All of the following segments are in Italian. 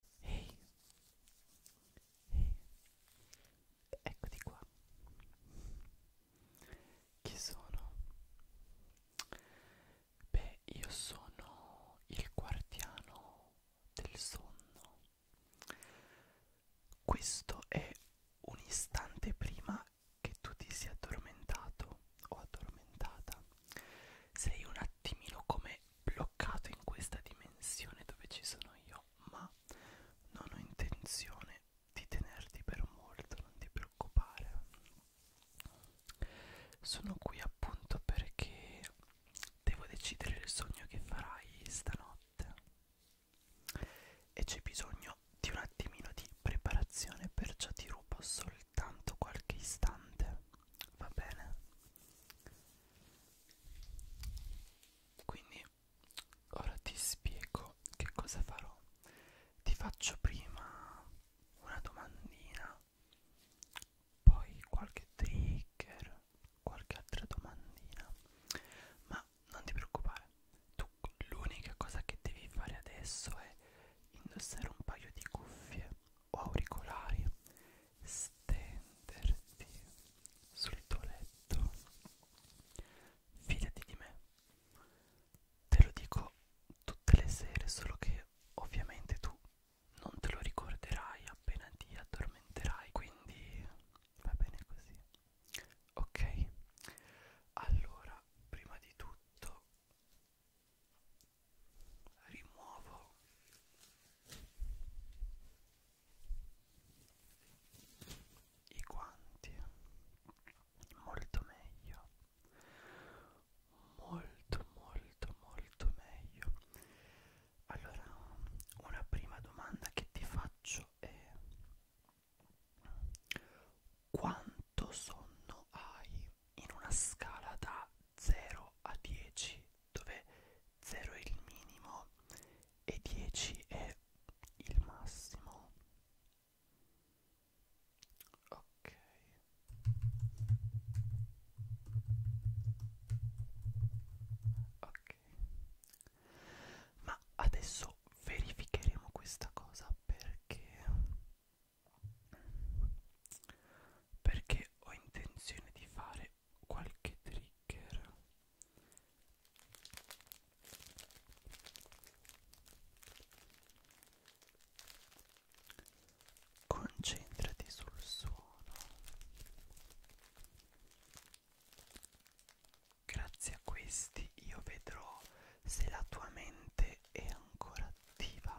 Ehi, hey. hey. eccoti qua. Chi sono? Beh, io sono il guardiano del sonno. Questo è un istante prima che tu ti sia addormentato o addormentata. Sei un attimino come bloccato in questa dimensione dove ci sono io, ma non ho intenzione di tenerti per molto, non ti preoccupare. Sono qui appunto perché devo decidere il sogno che farai stanotte e c'è bisogno di un attimino di preparazione, perciò ti rubo soltanto qualche istante, va bene? Quindi ora ti spiego che cosa farò. Ti faccio prima una domandina, poi qualche trigger, qualche altra domandina. Ma non ti preoccupare, tu l'unica cosa che devi fare adesso è indossare un paio di cuffie o auricolari stenderti sul tuo letto. Fidati di me. Te lo dico tutte le sere, solo che ovviamente tu non te lo ricorderai appena ti addormenterai, quindi va bene così. Ok, allora prima di tutto rimuovo i guanti molto meglio molto molto molto meglio allora una prima domanda che ti faccio è quanto sonno hai in una scala da 0 a 10 dove 0 è il minimo e 10 è il massimo ok ok ma adesso verificheremo questa cosa perché perché ho intenzione di fare qualche trigger concentrati sul suono grazie a questi io vedrò se la tua mente è ancora attiva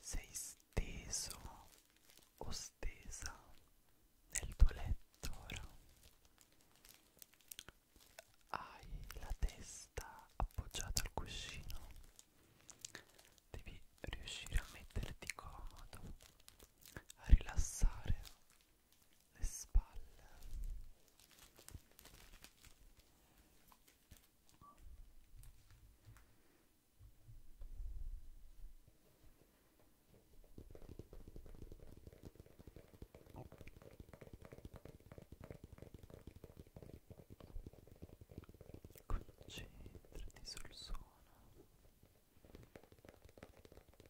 Sei steso o stesa nel tuo letto ora. Hai la testa appoggiata al cuscino. Devi riuscire a metterti comodo, a rilassare le spalle Concentrati sul suono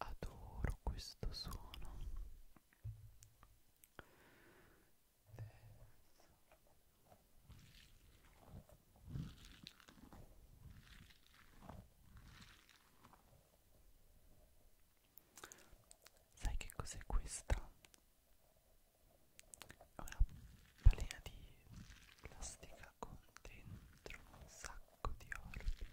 Adoro questo suono. Terzo. Sai che cos'è questa? È una balena di plastica con dentro un sacco di orbit.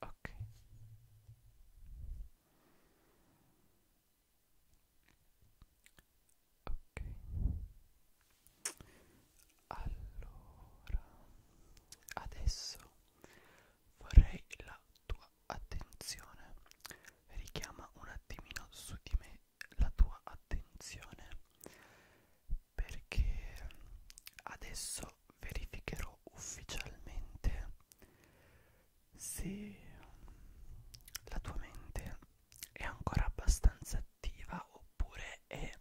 Ok. Ok. Allora, adesso vorrei la tua attenzione richiama un attimino su di me la tua attenzione perché adesso verificherò ufficialmente se la tua mente è ancora abbastanza attiva oppure è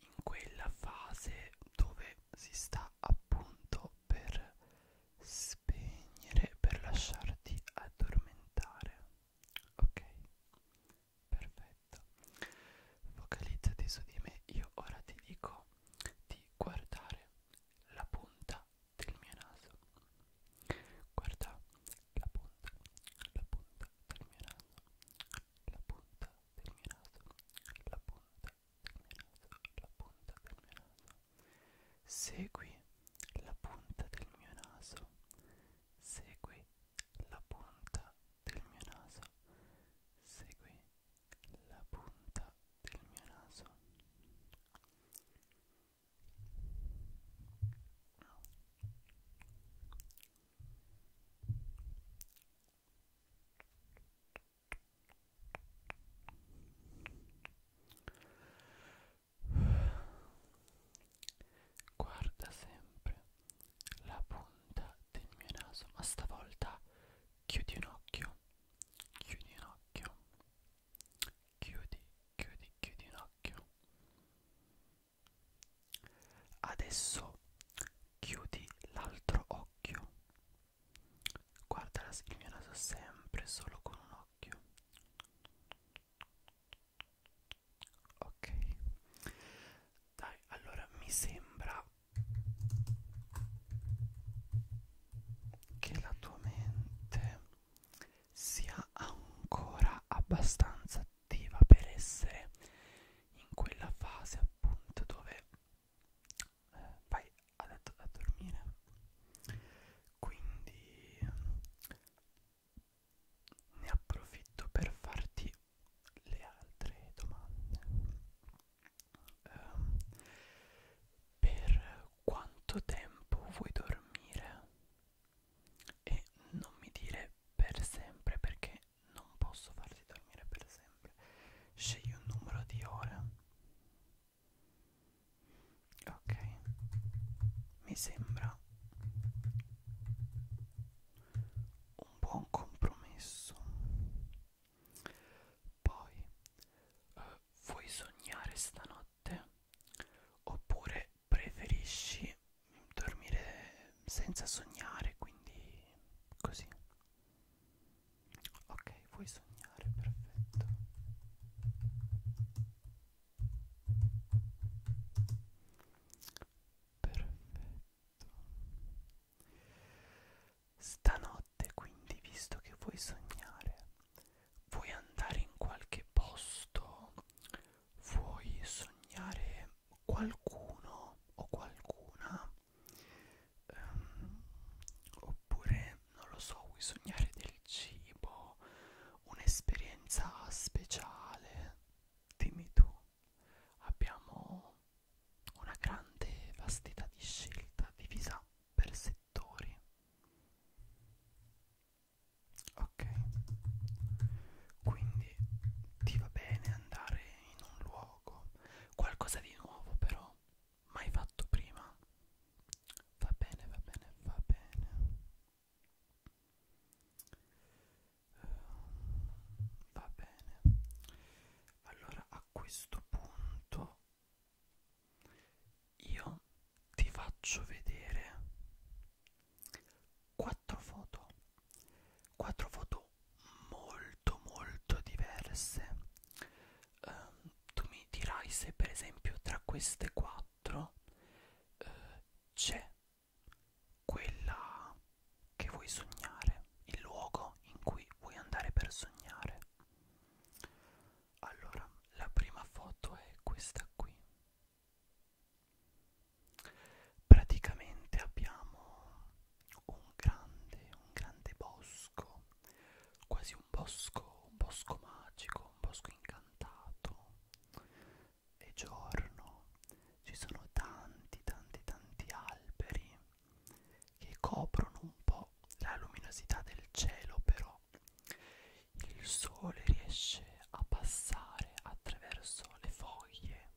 in quella fase dove si sta appunto per spegnere per lasciarti addormentare ok Perfetto. Focalizzati su di me. Io ora ti dico di guardare la punta del mio naso. Guarda la punta, la punta del mio naso. La punta del mio naso. La punta del mio naso. La punta del mio naso. Segui la punta del mio naso Segui la punta del mio naso. Segui la punta del mio naso. Guarda sempre la punta del mio naso, ma stavolta chiudi un occhio, chiudi un occhio, chiudi, chiudi, chiudi un occhio. Adesso chiudi l'altro occhio. Guarda il mio naso sempre solo con un occhio ok dai allora mi sembra che la tua mente sia ancora abbastanza attiva per essere in quella fase appunto dove eh, vai a, a dormire quindi ne approfitto per farti le altre domande um, per quanto tempo vuoi dormire e non mi dire per sempre perché non posso farti dormire per sempre scegli un numero di ore ok mi sembra un buon compromesso poi eh, vuoi sognare stanotte oppure preferisci dormire senza sognare quindi così ok vuoi sognare perfetto Perfetto. Stanotte quindi, visto che vuoi sognare, vuoi andare in qualche posto, vuoi sognare qualcuno o qualcuna, um, oppure non lo so, vuoi sognare del cibo, un'esperienza speciale dimmi tu abbiamo una grande vastità di scelta divisa per settori ok quindi ti va bene andare in un luogo qualcosa di nuovo però mai fatto prima va bene va bene va bene va bene allora a questo punto io ti faccio vedere quattro foto quattro foto molto molto diverse um, tu mi dirai se per esempio tra queste quattro uh, c'è quella che vuoi sognare, il luogo in cui vuoi andare per sognare. Allora, la prima foto è questa qui. Praticamente abbiamo un grande, un grande bosco, quasi un bosco, un bosco magico, un bosco incantato e giorno ci sono tanti tanti tanti alberi che coprono un po' la luminosità del cielo però il sole riesce a passare attraverso le foglie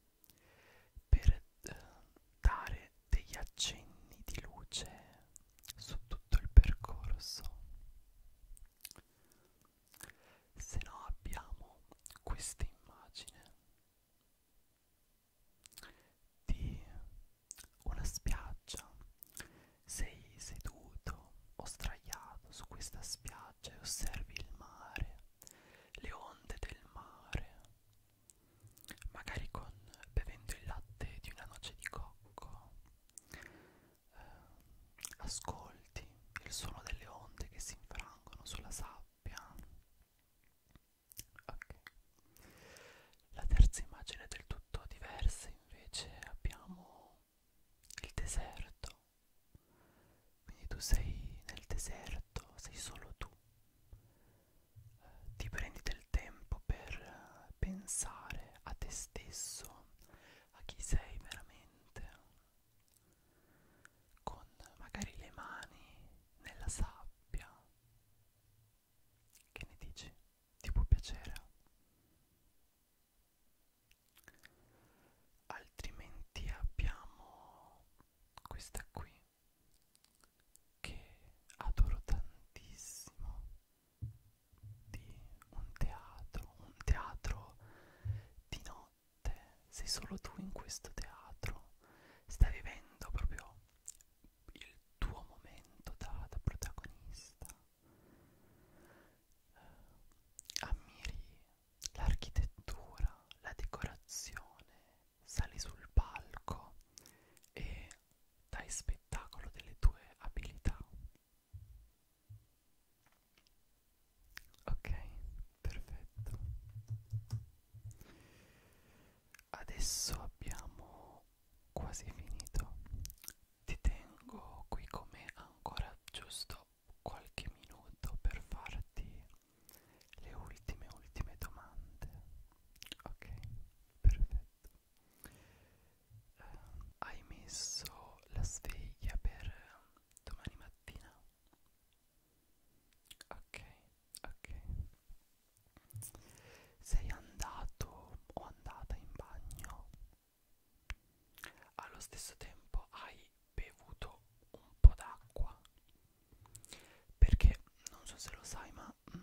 per eh, dare degli accenni di luce su tutto il percorso se no abbiamo questa immagine di una spiaggia sei seduto o sdraiato su questa spiaggia e osservi il mare le onde del mare magari con bevendo il latte di una noce di cocco eh, ascolti il suono delle onde che si infrangono sulla sabbia. Okay. La terza immagine è del tutto diversa, invece abbiamo il deserto. Quindi tu sei nel deserto, sei solo tu. Eh, ti prendi del tempo per pensare a te stesso, a chi sei veramente con magari le mani nella sabbia. Che ne dici? Ti può piacere? Altrimenti abbiamo questa qui che adoro tantissimo di un teatro, un teatro di, no, notte, sei solo tu in questo teatro, stai vivendo proprio il tuo momento da, da protagonista. Eh, ammiri l'architettura, la decorazione, sali sul palco e dai spettacolo delle tue abilità. Ok, perfetto. Adesso abbiamo quasi finito. Ti tengo qui come ancora giusto qualche minuto per farti le ultime ultime domande. Ok, perfetto. Eh, hai messo la sveglia per domani mattina ok ok sei andato o andata in bagno allo stesso tempo hai bevuto un po' d'acqua perché non so se lo sai ma mm,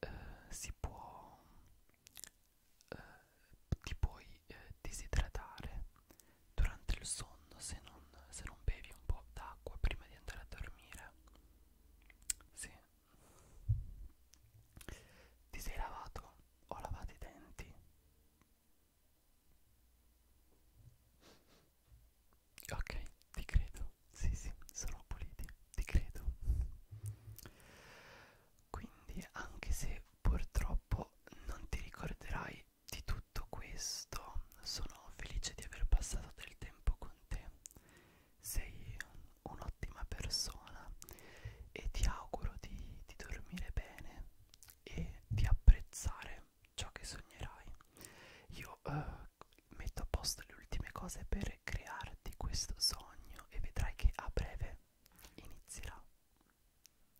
eh, si può eh, ti puoi eh, disidratare durante il sonno se non, se non bevi un po' d'acqua prima di andare a dormire. Sì. Ti sei lavato o lavato i denti? Ok, ti credo. Sì, sì, sono puliti, ti credo. Quindi anche se purtroppo non ti ricorderai di tutto questo, sono felice di aver passato del tempo con te. Sei un'ottima persona e ti auguro di, di dormire bene e di apprezzare ciò che sognerai. Io eh, metto a posto le ultime cose per crearti questo sogno e vedrai che a breve inizierà